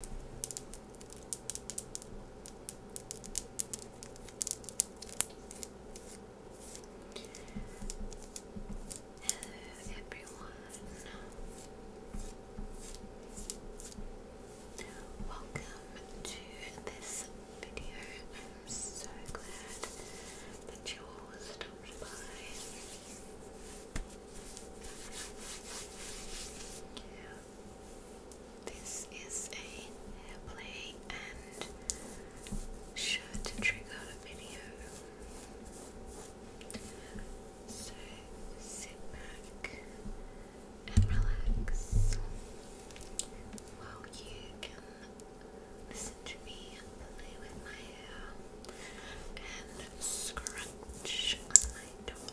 Hello everyone. Welcome to this video. I'm so glad that you all stopped by. Yeah. This is a airplay and should trigger video. So sit back and relax while you can listen to me play with my hair and scratch my dog.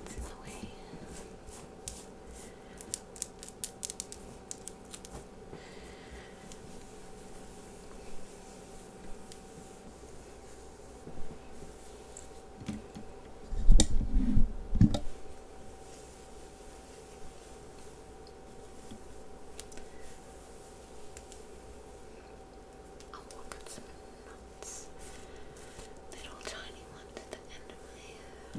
It's in the way. I'll some nuts, little tiny ones at the end of my hair. Uh,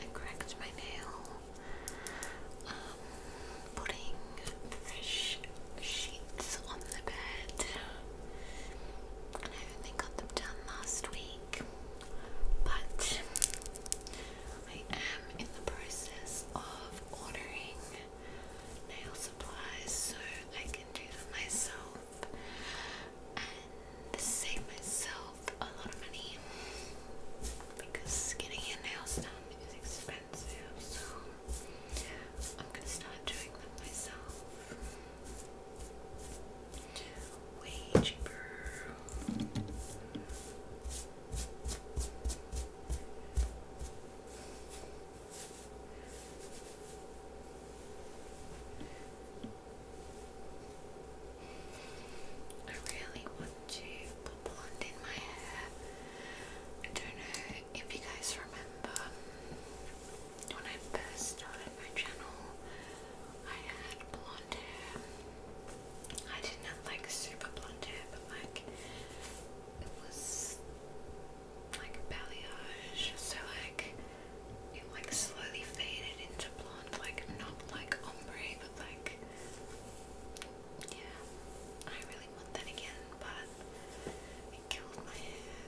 I cracked my nail. Um, putting fresh sheets on the bed. I only got them done last week. But I am in the process of ordering nail supplies so I can do them myself and save myself a lot of money because getting your nails done is expensive so I'm gonna start doing them myself way cheaper I really want to put blonde in my hair. I don't know if you guys remember when I first started my channel, I had blonde hair. I didn't like super blonde hair, but like it was like balayage, so like it like slowly faded into blonde, like not like ombre, but like yeah. I really want that again, but it killed my hair.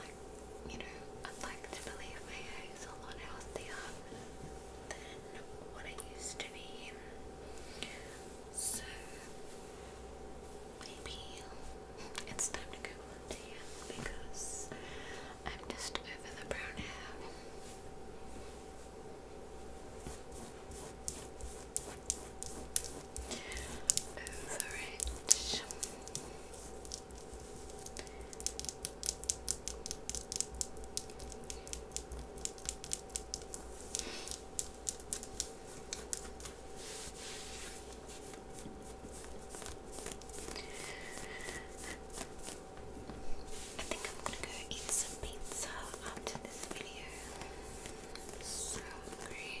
like you know, I'd like to believe my hair is a lot healthier than what it used to be. So maybe it's time to go to him because I'm just over the brown hair. I think I'm gonna go eat some pizza after this video. so hungry.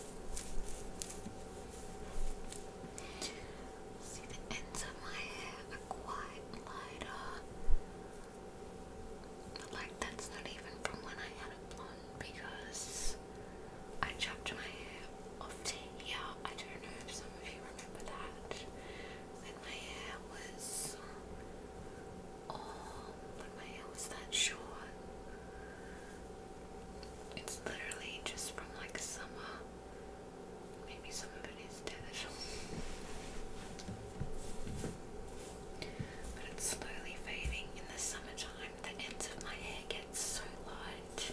See the ends of my hair are quite lighter. like that's not even from when I had a blonde because I chopped my hair off Yeah, I don't know if some of you remember that. When my hair was Oh, my hair was that short. It's literally just from like summer. Maybe some of it is dead. But it's slowly fading. In the summertime, the ends of my hair get so light.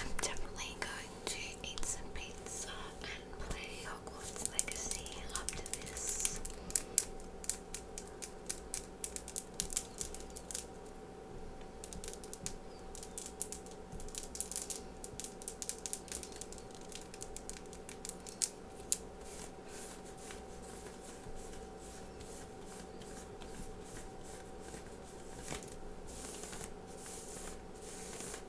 I'm definitely going to eat some pizza Play Hogwarts Legacy up to this.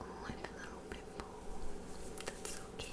Oh, I have a little pimple. That's Okay.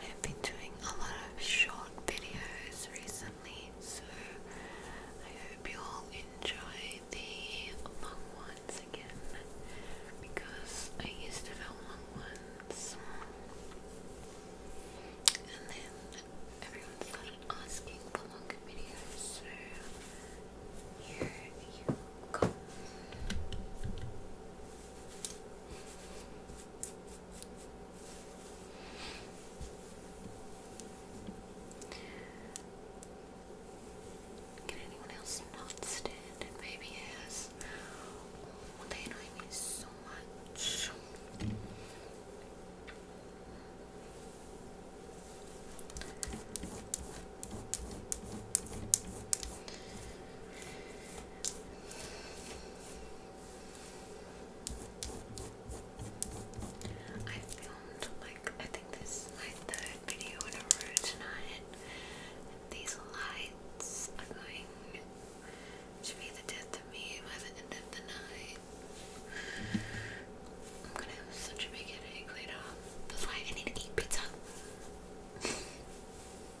I have been doing a lot of short videos recently, so I hope you'll enjoy the long ones again because I used to film long ones and then everyone started asking for longer videos, so here you go. Can anyone else not stand it? Maybe yes. Oh, they annoy me so much. I filmed like I think this is my third video in a row tonight. These lights are going to be the death of me by the end of the night. I'm gonna have such a big headache later. That's why I need to eat pizza.